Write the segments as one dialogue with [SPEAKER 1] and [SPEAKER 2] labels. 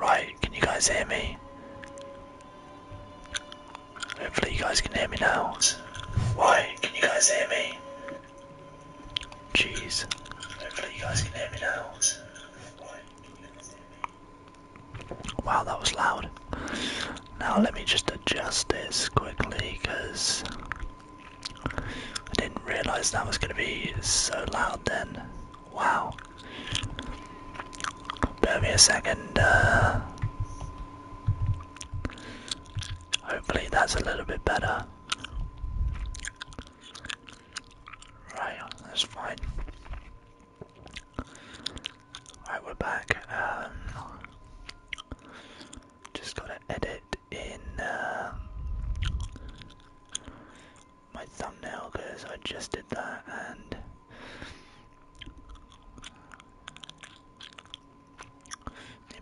[SPEAKER 1] Right, can you guys hear me? Hopefully you guys can hear me now. Why can you guys hear me? Jeez. Hopefully you guys can hear me now. Why? Hear me? Wow, that was loud. Now let me just adjust this quickly because I didn't realize that was going to be so loud then. Wow. Bear me a second. Uh, hopefully that's a little bit better. Right, that's fine. Alright, we're back. Um, just gotta edit in um, my thumbnail because I just did that and.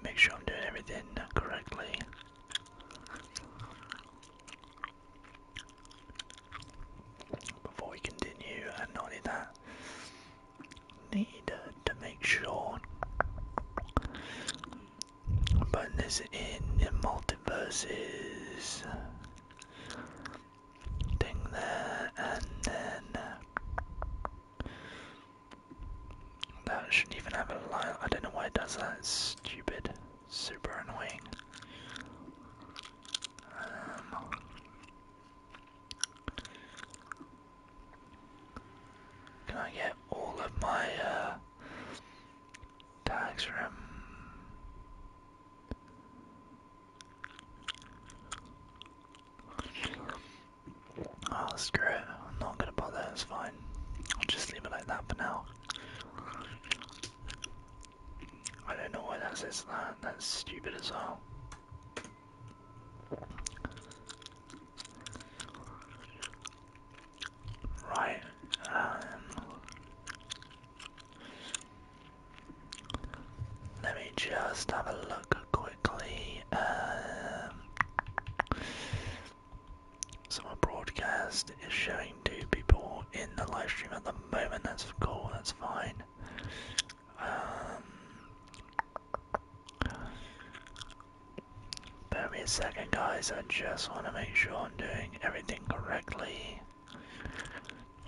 [SPEAKER 1] make sure I'm doing everything correctly. Before we continue, and not only that, need to make sure. But this in, in multiverses thing there, and then that shouldn't even have a line. I don't know why it does that. It's stupid, super annoying. Um, can I get all of my uh, tags from? Oh, screw it. I'm not gonna bother. It's fine. I'll just leave it like that for now. I don't know why that says That's stupid as well. Right. Um, let me just have a look quickly. Um, so my broadcast is showing two people in the live stream at the moment. That's cool. That's fine. Give um, me a second, guys. I just want to make sure I'm doing everything correctly.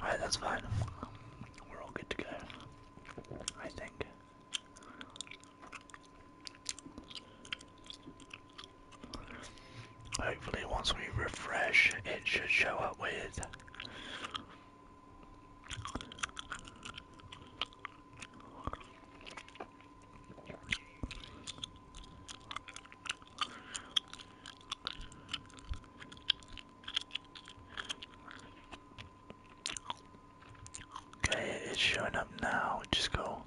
[SPEAKER 1] Alright, that's fine. We're all good to go. I think. Hopefully, once we refresh, it should show up with Okay, it's showing up now, which is cool.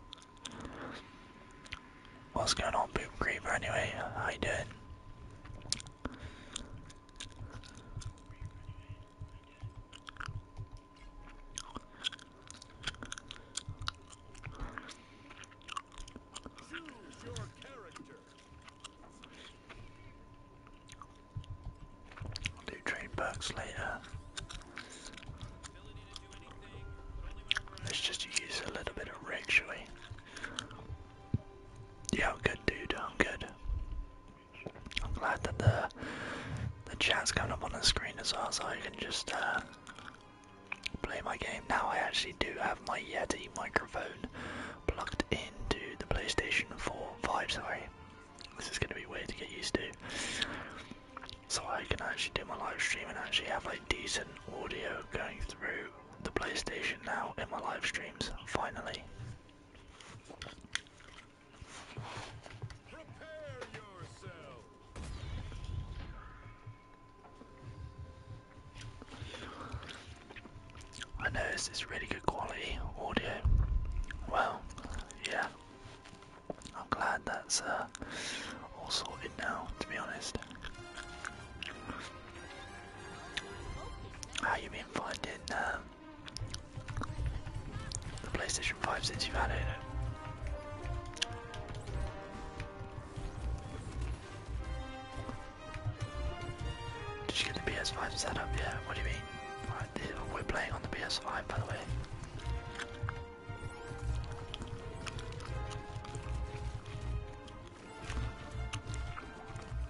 [SPEAKER 1] What's going on, Boop Creeper, anyway? How you doing? I'll do trade perks later. Let's just use a little bit of rig, Yeah, I'm good, dude. I'm good. I'm glad that the the chat's coming up on the screen as well, so I can just uh, play my game. Now I actually do have my Yeti microphone plugged into the PlayStation 4, 5, sorry. This is going to be weird to get used to. So I can actually do my live stream and actually have like decent audio going through the PlayStation now in my live streams, finally. I know this is really good quality audio. Well, yeah. I'm glad that's uh, all sorted now, to be honest. How you been finding um, the PlayStation 5 since you've had it, Did you get the PS5 set up? Yeah, what do you mean? Right, we're playing on the PS5 by the way.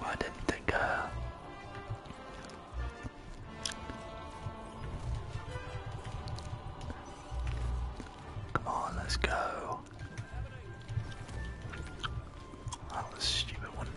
[SPEAKER 1] I didn't think uh Come on, let's go. That was stupid, wasn't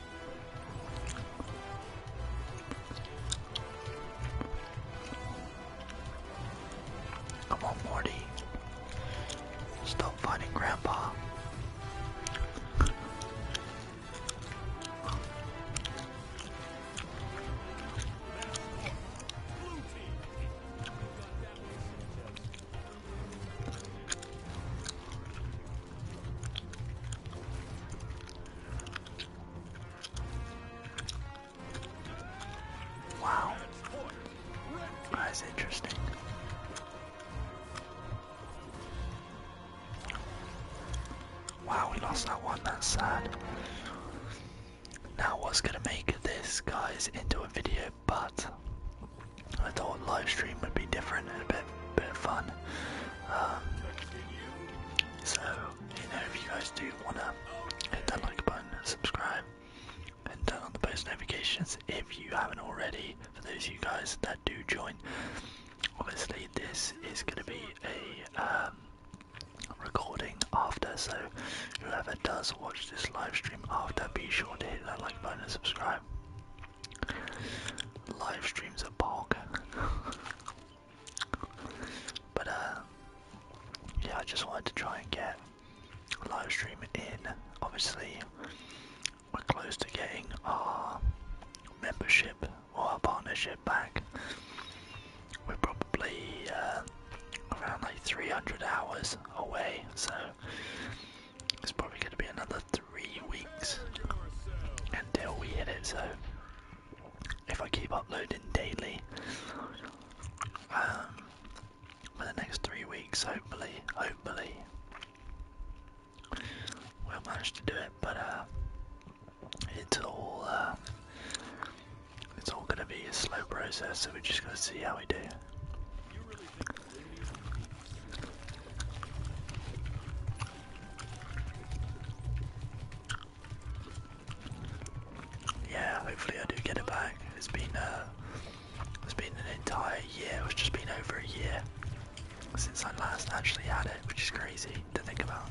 [SPEAKER 1] Come on, Morty. Stop fighting Grandpa. Wow. That's interesting. Wow, we lost that one, that's sad. Now, what's gonna make this, guys, into a video, but I thought live stream would be different and a bit, bit of fun. Um, so, you know, if you guys do wanna hit that like button, subscribe, and turn on the post notifications if you haven't already, for those of you guys that do join. Obviously, this is gonna be a um, recording after, so whoever does watch this live stream after, be sure to hit that like button and subscribe. Live streams are bog. But uh, yeah, I just wanted to try and get a live stream in. Obviously, we're close to getting our membership or our partnership back. We're probably uh, around like 300 hours away, so it's probably going to be another three weeks until we hit it. So if I keep uploading daily um, for the next three weeks, hopefully, hopefully, we'll manage to do it. But uh, it's all um, it's all gonna be a slow process, so we're just gonna see how we do. Yeah, hopefully I do get it back. It's been uh, it's been an entire year. It's just been over a year since I last actually had it, which is crazy to think about.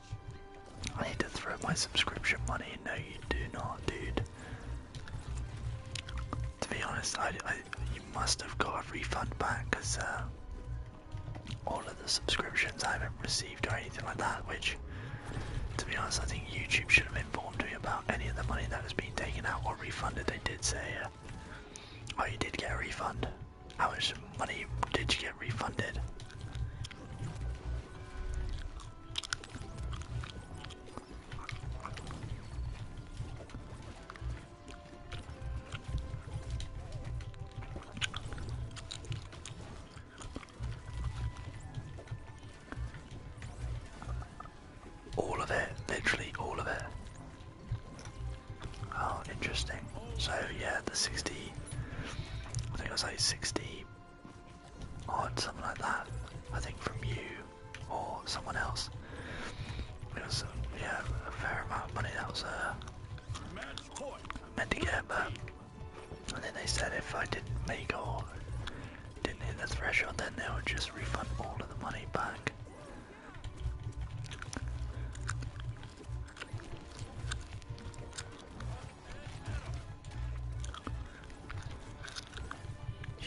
[SPEAKER 1] I need to throw my subscription money. No, you do not, dude. To be honest, I, must have got a refund back because uh, all of the subscriptions I haven't received or anything like that. Which, to be honest, I think YouTube should have informed me about any of the money that has been taken out or refunded. They did say, uh, "Oh, you did get a refund." How much money did you get refunded? All of it, literally all of it. Oh, interesting. So yeah, the 60, I think it was like 60 or something like that. I think from you or someone else. It was yeah a fair amount of money that was uh, meant to get, but and then they said if I didn't make or didn't hit the threshold, then they would just refund all of the money back.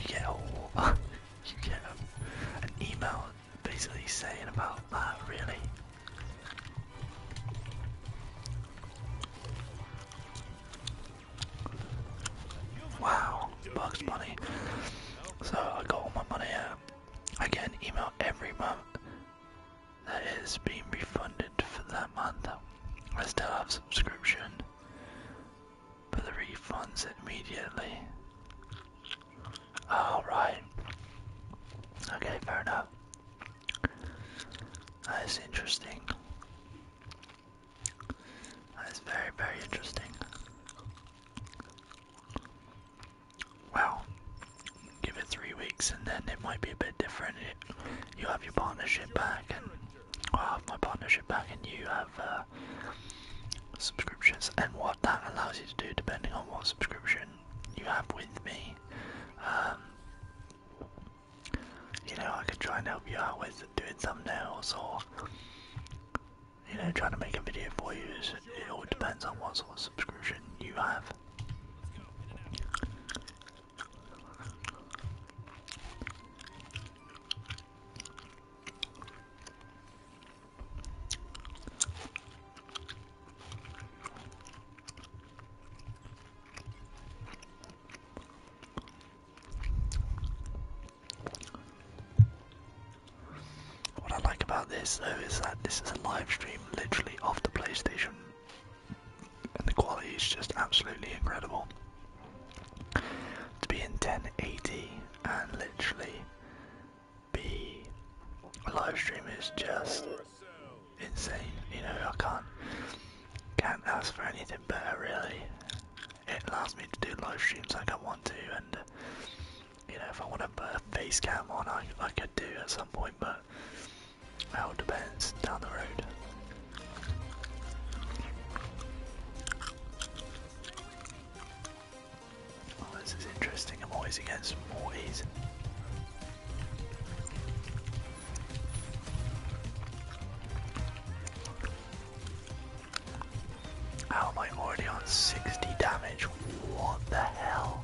[SPEAKER 1] You get a you get an email basically saying about that really. Wow, Bugs Bunny. So I got all my money out. I get an email every month that is being refunded for that month. I still have subscription, but the refunds immediately. All right. Okay, fair enough. That is interesting. That is very, very interesting. Well, give it three weeks and then it might be a bit different. You have your partnership back and i have my partnership back and you have uh, subscriptions and what that allows you to do depending on what subscription you have with me. Um, you know, I can try and help you out with doing thumbnails or, you know, trying to make a video for you. it all depends on what sort of subscription you have. What I like about this though is that this is a live stream literally off the PlayStation and the quality is just absolutely incredible. To be in 1080 and literally be a live stream is just insane. You know, I can't can't ask for anything better really. It allows me to do live streams like I want to, and you know, if I want to put a face cam on, I I could do at some point, but well, depends down the road. Oh, this is interesting. I'm always against mortys. How am I already on 60 damage? What the hell?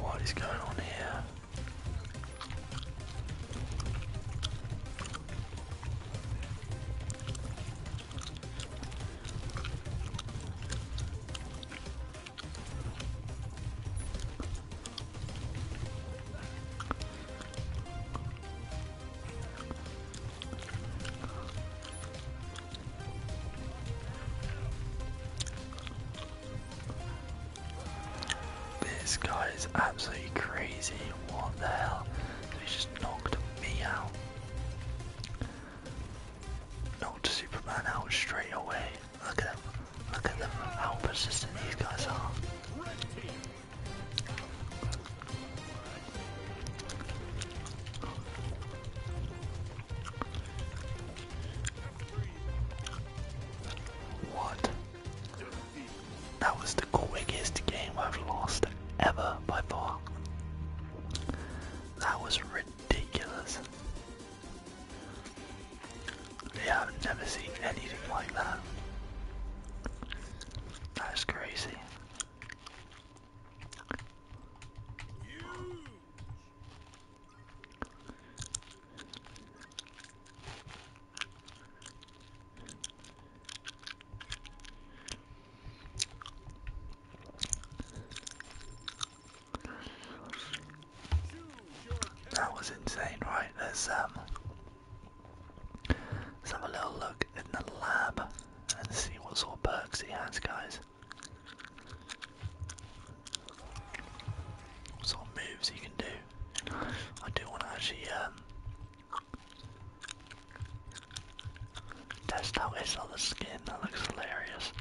[SPEAKER 1] What is going on here? This guy is absolutely crazy. What the hell? He just knocked me out. Knocked Superman out straight away. Look at them. Look at them. How persistent these guys are. What? That was the quickest game I've lost ever by far. That was ridiculous. I've never seen anything like that. That's crazy. That was insane, right? Let's um let's have a little look in the lab and see what sort of perks he has guys. What sort of moves you can do. I do want to actually um, test it's his the skin. That looks hilarious.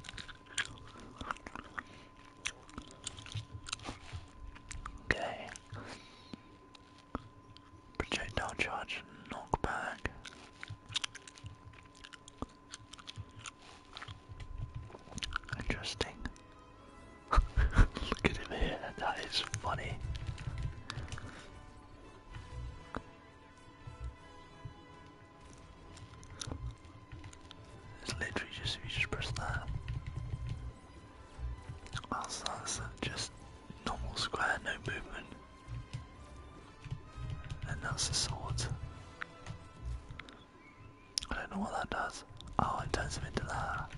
[SPEAKER 1] Okay. Projectile charge knockback. Interesting. Look at him here, that is funny. It's literally just if you just press that. that's just normal square, no movement. And that's the sword. I don't know what that does. Oh, it turns him into that.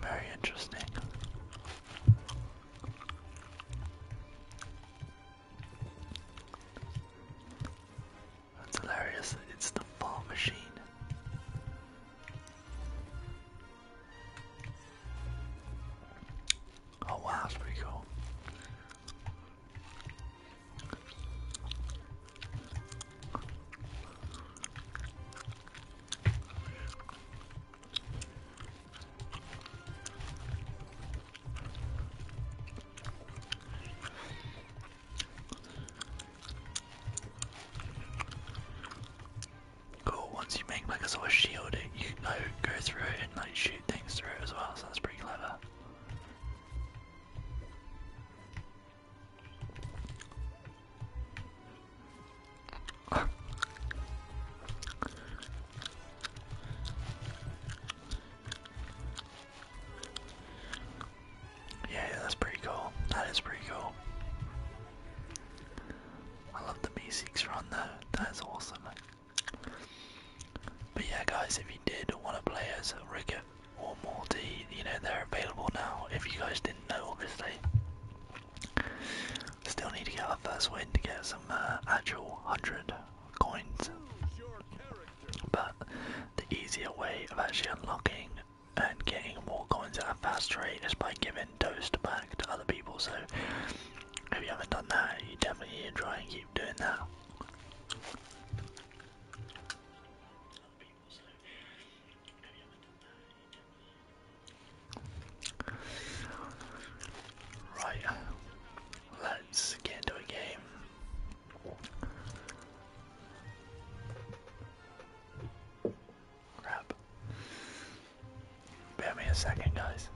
[SPEAKER 1] Very interesting. That's hilarious. It's the fall machine. Oh wow, that's pretty cool. Cool, once you make like a sort of shield, it, you can like, go through it and like shoot things through it as well, so that's pretty clever. Yeah, that's pretty cool. That is pretty cool. I love the B6 run though, that is awesome. But yeah guys, if you did want to play as Ricket or Morty, you know they're available now, if you guys didn't know obviously. Still need to get our first win to get some uh, actual 100 coins. But the easier way of actually unlocking and getting more coins at a faster rate is by giving doses back to other people. So if you haven't done that, you definitely need to try and keep doing that. Right, let's get into a game. Crap. Bear me a second, guys.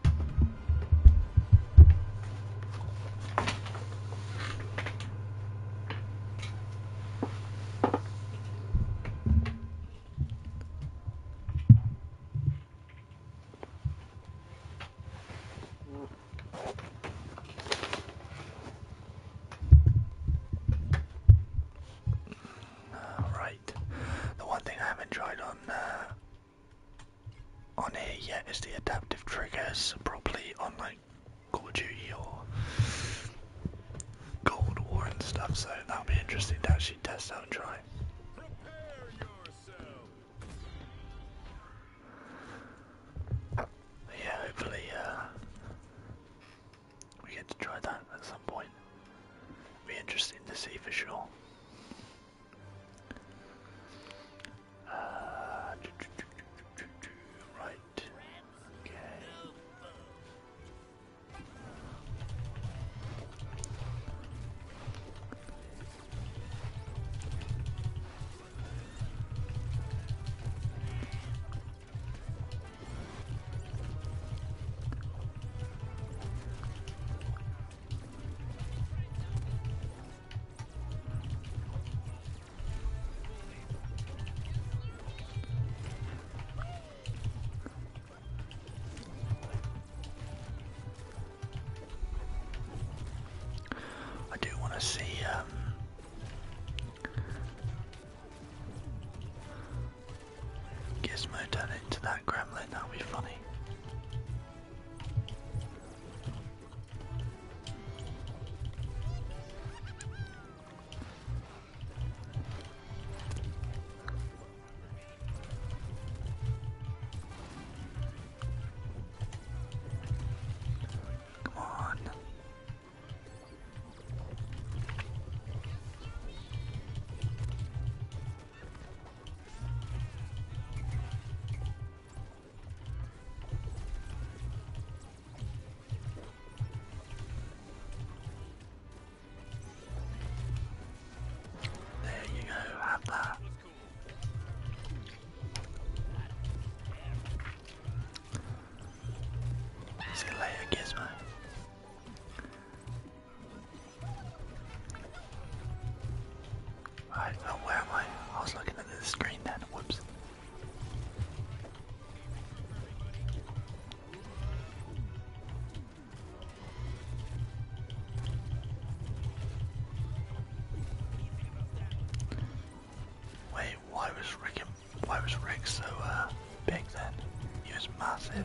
[SPEAKER 1] Alright. The one thing I haven't tried on uh, on here yet is the adaptive triggers Probably on like Call of Duty or Cold War and stuff, so that'll be interesting to actually test out and try. Yeah, hopefully uh, we get to try that at some point. Be interesting to see for sure. Uh, right. Okay. I do want to see um, Gizmo turn into that gremlin, that'll be funny. Come on. There you go, have that. See you later, Gizmo. Right, where am I? I was looking at the screen then, whoops. Wait, why was Ricky why was Rick so uh, big then? He was massive.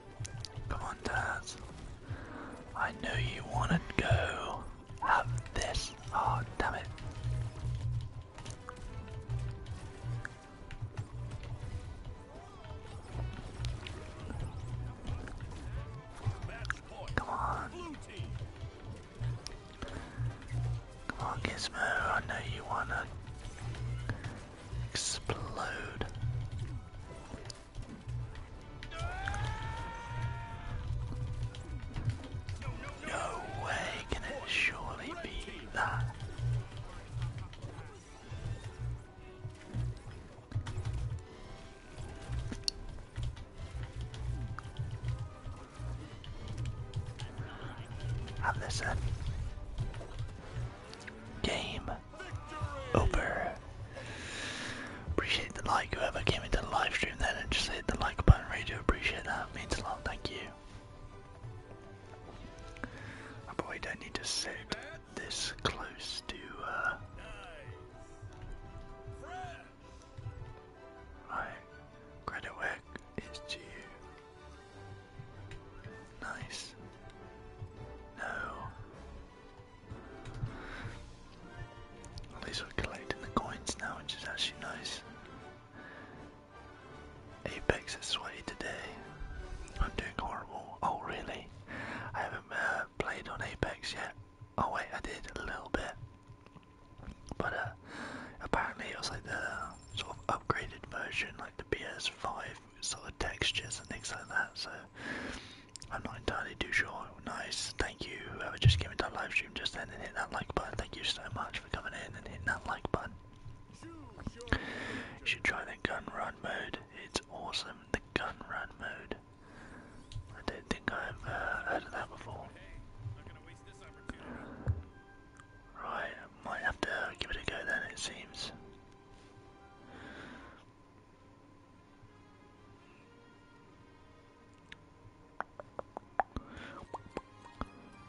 [SPEAKER 1] Come on, Daz. I know you want to go. Have this. Oh, damn it. Come on. Come on, Gizmo. I know you want to explode. No way can it surely be that. Have this Game over. Appreciate the like, whoever came into the live stream then and just hit the like button, really do appreciate that, means a lot, thank you. I probably don't need to sit this close to Right, uh, credit work is to you. Nice. No. At least we're collecting the coins now, which is actually nice. Apex is sweaty today. I'm doing horrible. Oh, really? I haven't uh, played on Apex yet. Oh, wait, I did a little bit. But uh, apparently, it was like the sort of upgraded version, like the PS5 sort of textures and things like that. So I'm not entirely too sure. Nice, thank you whoever just came into our live stream just then and hit that like button. Thank you so much for coming in and hitting that like button. You should try the gun run mode. It's awesome, the gun run mode. I don't think I've uh, heard of that before. Right, might have to give it a go then it seems.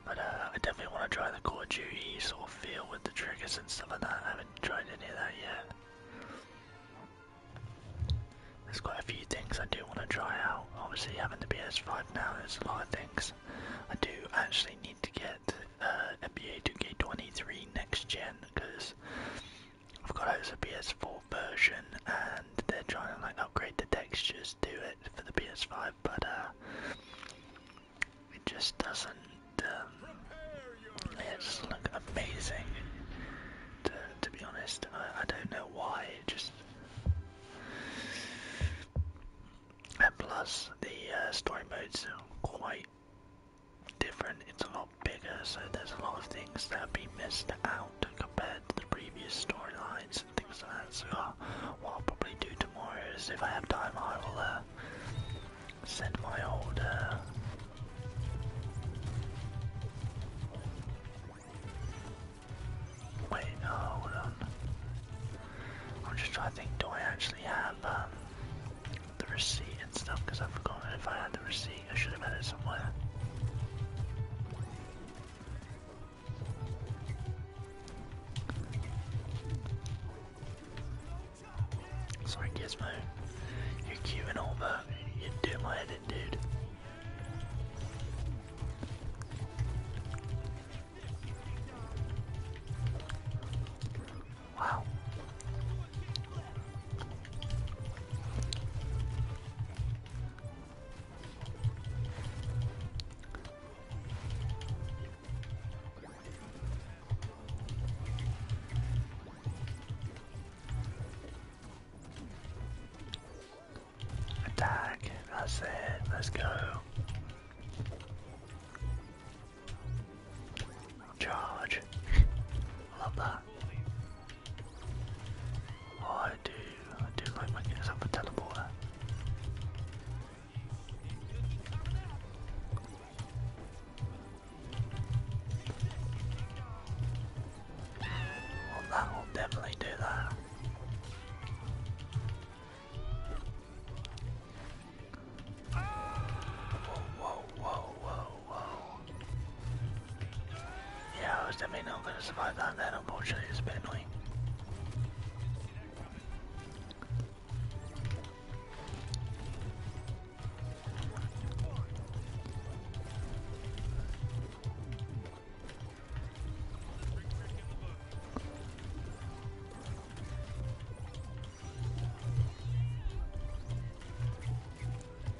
[SPEAKER 1] But uh, I definitely want to try the Call Duty sort of feel with the triggers and stuff like that. I haven't tried any of that yet. There's quite a few things I do want to try out. Obviously, having the PS5 now, there's a lot of things. I do actually need to get uh, a ba 2K23 next gen because I've got it as a PS4 version, and they're trying to like upgrade the textures to it for the PS5, but uh, it just doesn't. Um, it doesn't look amazing. To, be honest, I, don't know why. just and plus the uh, story mode's quite different, it's a lot bigger, so there's a lot of things that have been missed out compared to the previous storylines and things like that. So, uh, what I'll probably do tomorrow is if I have time, I will uh, send my old. Uh, wait, hold on. I'm just trying to think, do I actually have um, the receipt and stuff? Because I've forgotten if I had the receipt. I should have had somewhere. Sorry, Gizmo. You're cute over. all, but you do my head in, dude. Wow. Attack, that's it, let's go. Charge. Love that. I do, I do like making this up a teleporter. Well, that will definitely do that. Whoa, whoa, whoa, whoa wow. Yeah, I was definitely not going to survive that then, unfortunately. It's a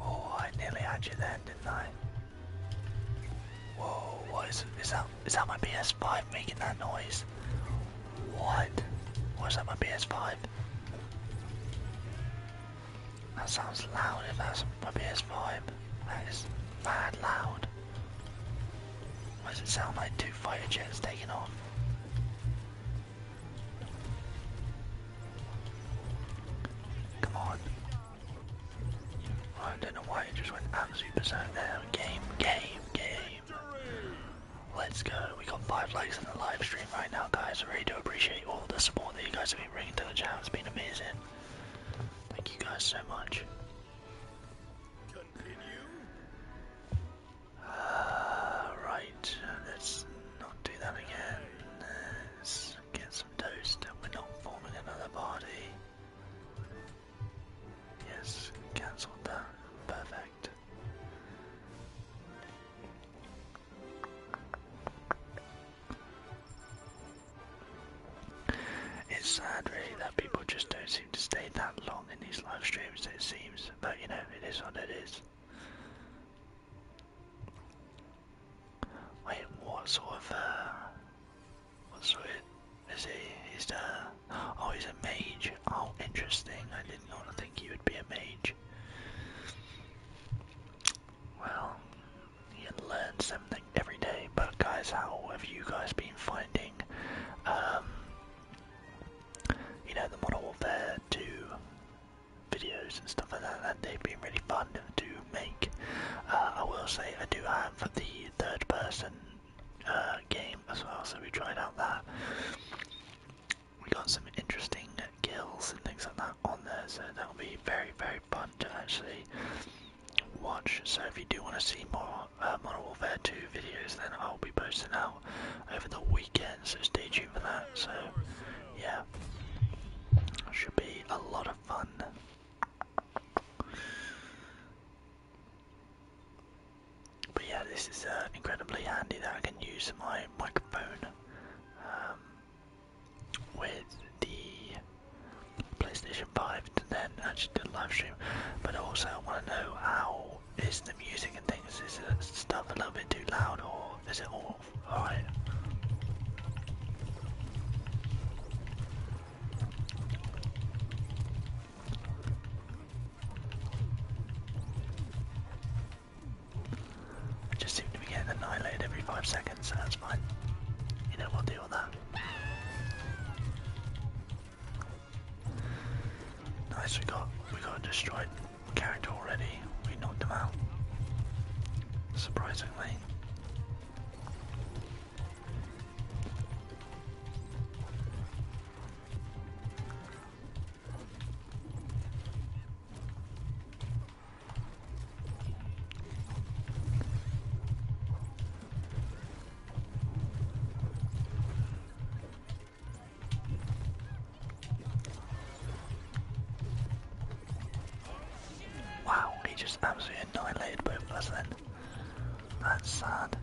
[SPEAKER 1] Oh, I nearly had you then, didn't I? Whoa, what is is that is that my PS5 making that noise? What? Was that my PS5? That sounds loud if that's my PS5. That is mad loud. does it sound like two fighter jets taking off? Come on. I don't know why it just went absolutely berserk Game, game, game. Let's go. We got five likes in the live stream right now, guys. really do appreciate all the support that you guys have been bringing to the channel. It's been amazing. Thank you guys so much. Uh, right. Let's not do that again. Let's get some toast. We're not forming another party. Yes, cancelled that. Perfect. It's sad, really, that people just don't seem to stay that long in these live streams, it seems, but you know, it is what it is. Wait, what sort of, uh, what sort is he, he's the, uh, oh he's a mage, oh interesting, did want to think he would be a mage. Well, you learn something every day, but guys, how have you guys been finding, um, you know, the Modern Warfare 2 videos and stuff like that, that they've been really fun to make. Uh, I will say I do have the third person uh, game as well, so we tried out that we got some interesting kills and things like that on there, so that'll be very, very fun to actually watch. So if you do want to see more uh, Modern Warfare 2 videos, then I'll be posting out over the weekend, so stay tuned for that. So yeah, should be a lot of fun. But yeah, this is uh, incredibly handy that I can use my microphone um, with the PlayStation 5 to then actually do the live stream. But also, I want to know how is the music and things? Is it stuff a little bit too loud or is it all alright? I just seem to be getting annihilated every five seconds, so that's fine. You know, we'll deal with that. Nice, we got we got destroyed character already. We knocked them out. Surprisingly. Wow, he just absolutely annihilated both of us then. That's sad.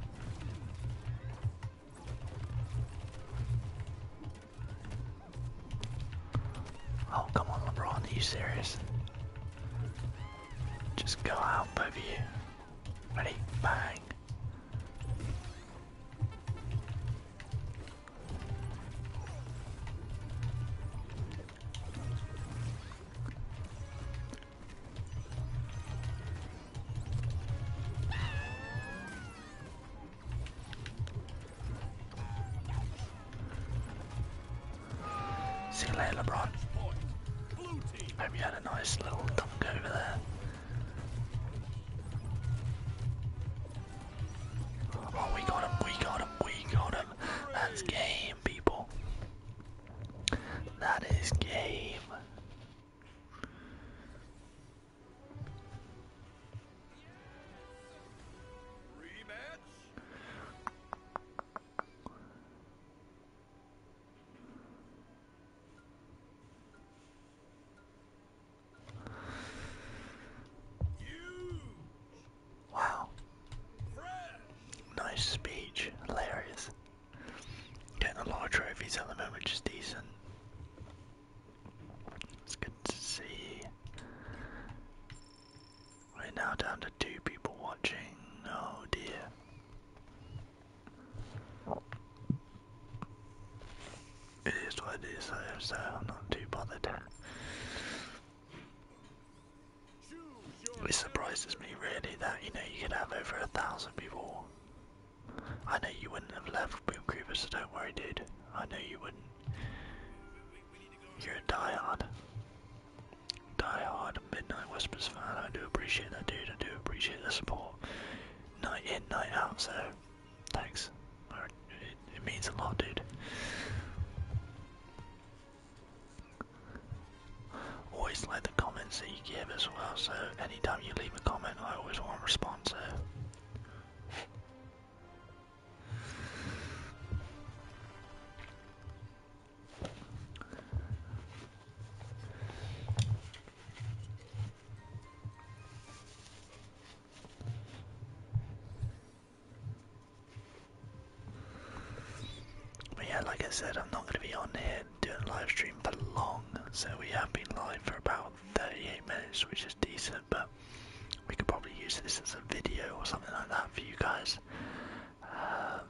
[SPEAKER 1] Oh, come on, LeBron. Are you serious? Just go out, both of you. Ready? Bang. See you later, LeBron. Hope you had a nice little dunk over there. Oh, we got him, we got him, we got him. That's game, people. That is game. Wow. Nice speech. Hilarious. Getting a lot of trophies at the moment, which is decent. It's good to see. We're now down to two people watching. Oh dear. It is what it is, so I'm not too bothered. It surprises me really that you know you can have over a thousand people I know you wouldn't have left Boom Creeper, so don't worry, dude. I know you wouldn't. You're a die-hard, die-hard Midnight Whispers fan. I do appreciate that, dude. I do appreciate the support. Night in, night out, so thanks. It, it means a lot, dude. Always like the comments that you give as well, so anytime you leave a comment, I always want to respond, so but yeah, like I said, I'm not going to be on here doing a live stream for long, so we have been live for about 38 minutes, which is decent, but we could probably use this as a video or something like that for you guys. Um,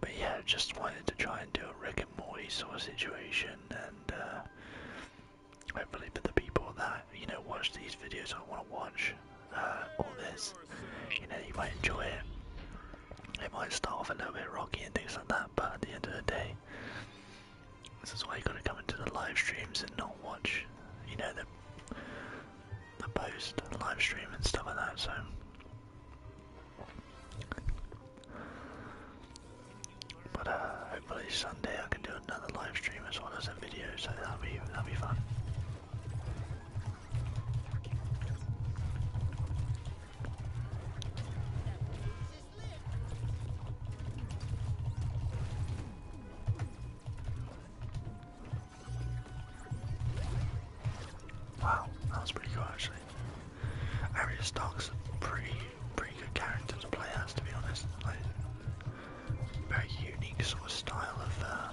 [SPEAKER 1] but yeah, just wanted to try and do a Rick and Morty sort of situation, and uh, hopefully for the people that you know watch these videos, I want to watch uh, all this. You know, you might enjoy it. It might start off a little bit rocky and things like that, but at the end of the day, this is why you gotta come into the live streams and not watch, you know, the the post live stream and stuff like that. So. But uh, hopefully Sunday I can do another live stream as well as a video, so that'll be that'll be fun. Wow, that was pretty cool actually. Arius Dark's pretty, pretty good character to play as to be honest. Like, very unique sort of style of uh,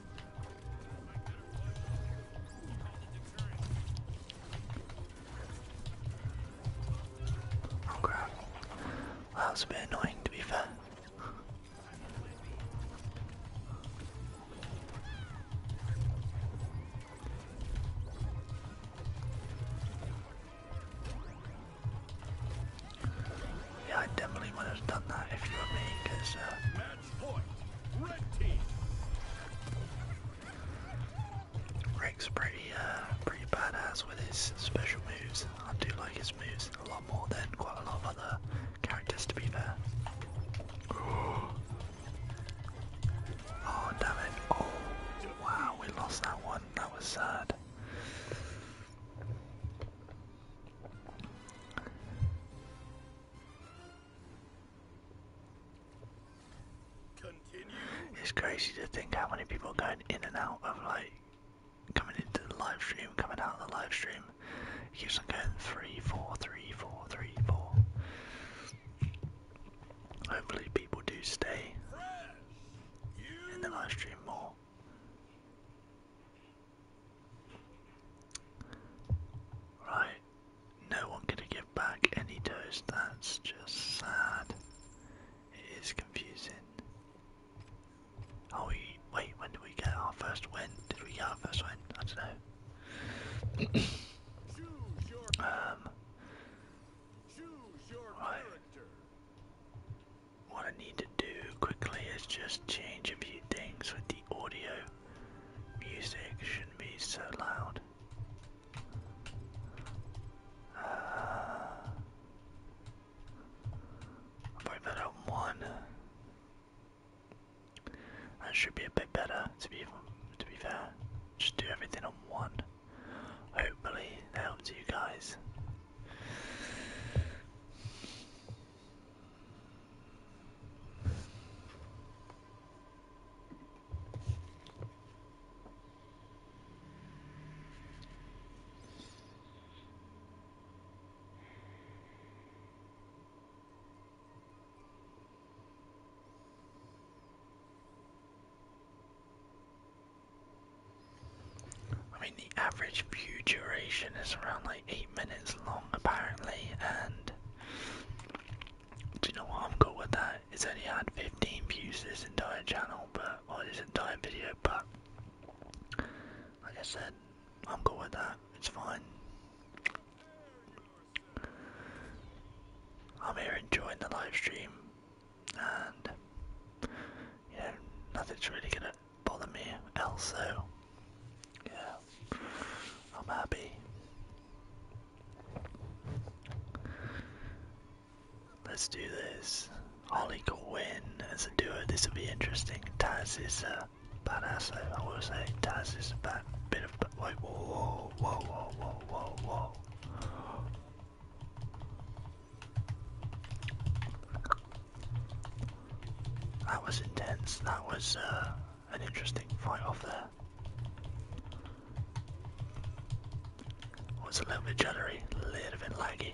[SPEAKER 1] Okay. Well, that was a bit annoying to be fair. yeah, I definitely have done that if you were me, because uh, Rick's pretty, uh, pretty badass with his special moves. I do like his moves a lot more than quite a lot of other characters, to be fair. Oh damn it! Oh wow, we lost that one. That was sad. It's crazy to think how many people are going in and out of like coming into the live stream, coming out of the live stream. keeps on going three, four, three, four, three, four. Hopefully people do stay in the live stream more. Right, no one gonna give back any dose, that's just sad. It is confusing. Oh, we, wait, when did we get our first win? Did we get our first win? I don't know. um, What I need to do quickly is just change a few things with the audio. Music shouldn't be so loud. Uh, I'll probably put on one. That should be a bit better, to be to be fair. Just do everything on one. Hopefully that helps you guys. I mean, the average view duration is around like 8 minutes long apparently, and do you know what? I'm cool with that. It's only had 15 views this entire channel, but or this entire video, but like I said, I'm cool with that. It's fine. I'm here enjoying the live stream, and you nothing's really gonna bother me else. So yeah, I'm happy. Let's do this. Holly could win as a duo. This will be interesting. Taz is a badass, I will say. Taz is a bad bit of. Wait, whoa, whoa, whoa, whoa, whoa, whoa, whoa. That was intense. That was uh, an interesting fight off there. Was a little bit juddery, a little bit laggy.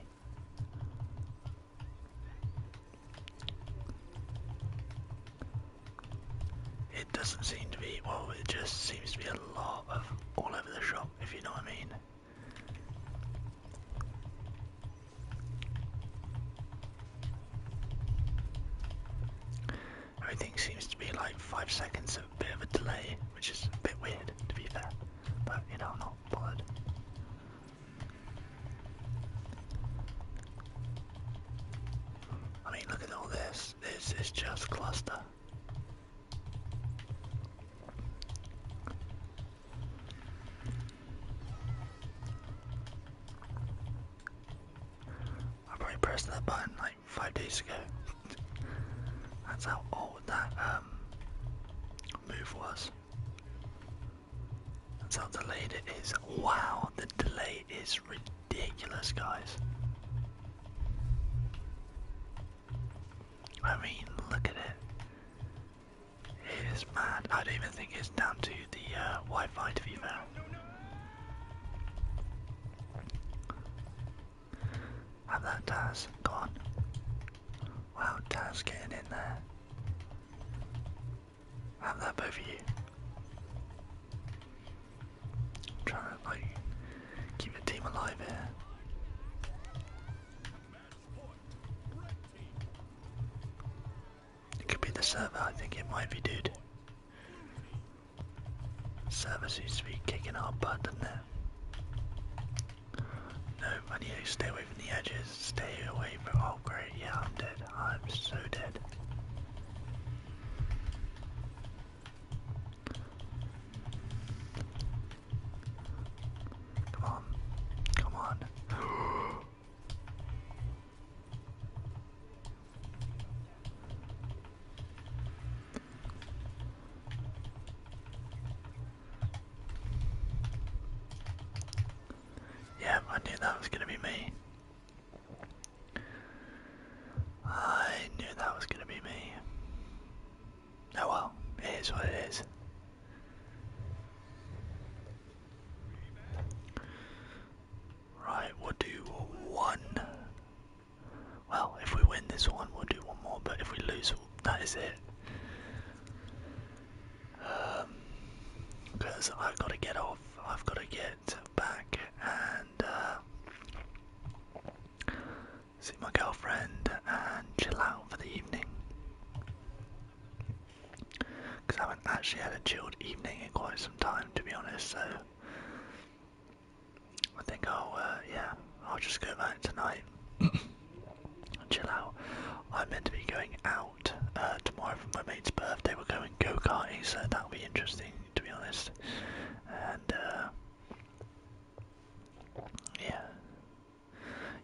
[SPEAKER 1] It doesn't seem to be, well, it just seems to be a lot of all over the shop, if you know what I mean. Everything seems to be like five seconds of a bit of a delay, which is a bit weird to be fair, but you know, I'm not bothered. I mean, look at all this. This is just cluster. I probably pressed that button like five days ago. That's how old that um, move was. That's how delayed it is. Wow, the delay is ridiculous, guys. I mean, look at it. It is mad. I don't even think it's down to the uh, Wi-Fi to be found. Have that Taz, go on. Wow, Taz getting in there. Have that both of you. I'm like keep the team alive here. It could be the server, I think it might be, dude. Server seems to be kicking our butt, doesn't it? No, I need to stay away from the edges, stay away from- oh great, yeah, I'm dead, I'm so dead. Come on, come on. Yeah, I knew that was gonna be me. I knew that was gonna be me. Oh well, it is what it is. Right, we'll do one. Well, if we win this one, we'll do one more, but if we lose, that is it. Because um, I've got to get off, I've got to get back and uh, see my girlfriend and chill out for the evening. Because I haven't actually had a chilled evening in quite some time, to be honest, so I think I'll, uh, yeah, I'll just go back tonight and chill out. I'm meant to be going out uh, tomorrow for my mate's birthday. We're going go-karting, so that'll be interesting, to be honest. And, uh, yeah.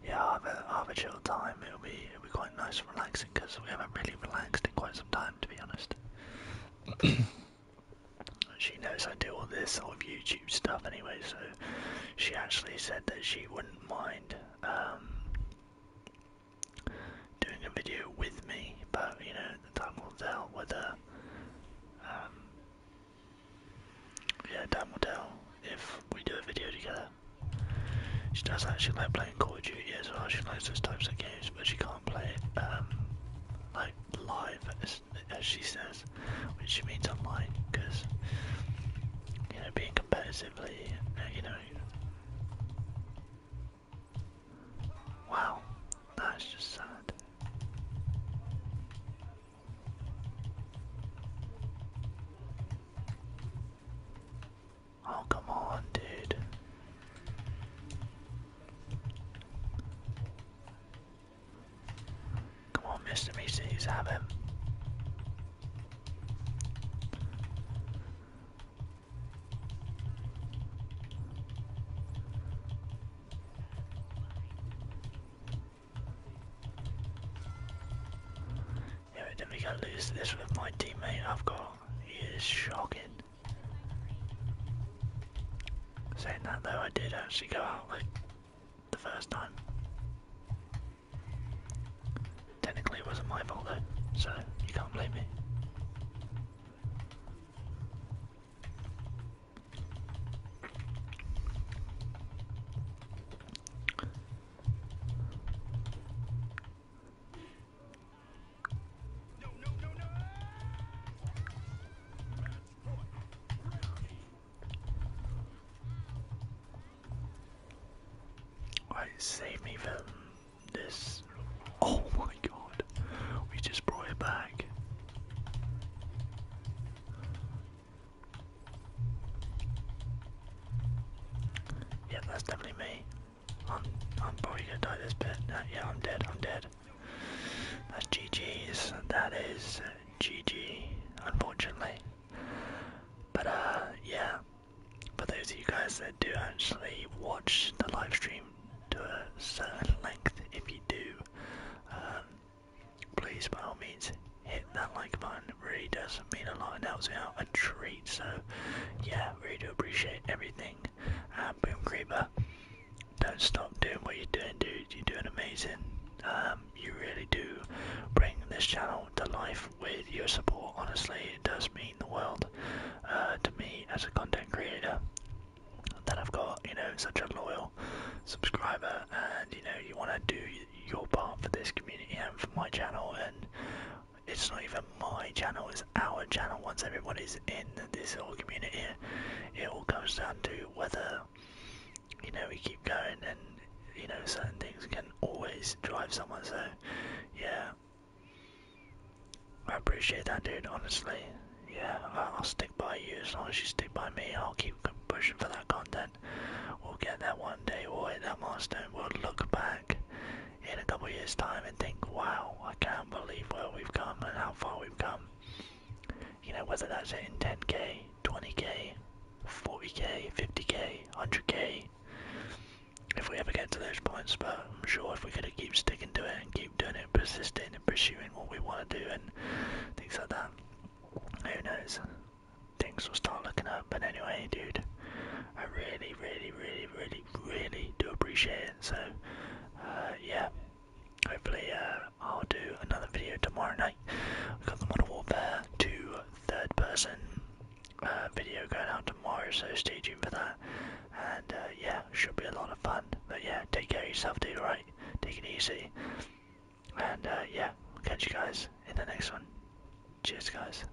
[SPEAKER 1] Yeah, i have a I'll have a chill time. It'll be, it'll be quite nice and relaxing because we haven't really relaxed in quite some time, to be honest. she knows I do all this sort of YouTube stuff anyway, so she actually said that she wouldn't mind um, doing a video with me, but you know, the time will tell whether. Um, yeah, time will tell if we do a video together. She does actually like playing Call of Duty as well, she likes those types of games, but she can't play it um, like live, as, as she says, which she means online, because you know, being competitively, uh, you know. Wow, that's just sad. Oh, come on, dude. Come on, Mr. Meeseeks, have him. Yeah, but then we gotta lose this with my teammate I've got. He is shocking. Saying that though, I did actually go out the first time. Technically, it wasn't my fault though, so you can't blame me. I saved me from this. Oh my god, we just brought it back. Yeah, that's definitely me. I'm I'm probably gonna die this bit. Uh, yeah, I'm dead. I'm dead. That's GG's. That is GG. Unfortunately, but uh, yeah. For those of you guys that do actually watch the live stream to a certain length, if you do, um, please by all means hit that like button. It really does mean a lot, helps out a treat. So yeah, really do appreciate everything um, boom Creeper, don't stop doing what you're doing, dude. You're doing amazing. Um, you really do bring this channel to life with your support. Honestly, it does mean the world uh, to me as a content creator that I've got, you know, such a loyal subscriber and, you know, you want to do your part for this community and for my channel and it's not even my channel, it's our channel. Once everybody's in this whole community, it all comes down to whether you know we keep going, and you know certain things can always drive someone. So, yeah, I appreciate that, dude. Honestly, yeah, I'll stick by you as long as you stick by me. I'll keep pushing for that content. We'll get that one day. We'll hit that milestone. We'll look back in a couple years' time and think, wow, I can't believe where we've come and how far we've come. You know, whether that's in 10k, 20k, 40k, 50k, 100k, if we ever get to those points, but I'm sure if we could going to keep sticking to it and keep doing it, persisting and pursuing what we want to do and things like that, who knows? Things will start looking up, but anyway, dude, I really, really, really, really really, do appreciate it. So, uh, yeah, hopefully uh, I'll do another video tomorrow night. I've got the Modern Warfare 2 third person uh, video going out tomorrow, so stay tuned for that. And yeah, should be a lot of fun. But yeah, take care of yourself, dude, right, Take it easy. And yeah, catch you guys in the next one. Cheers, guys.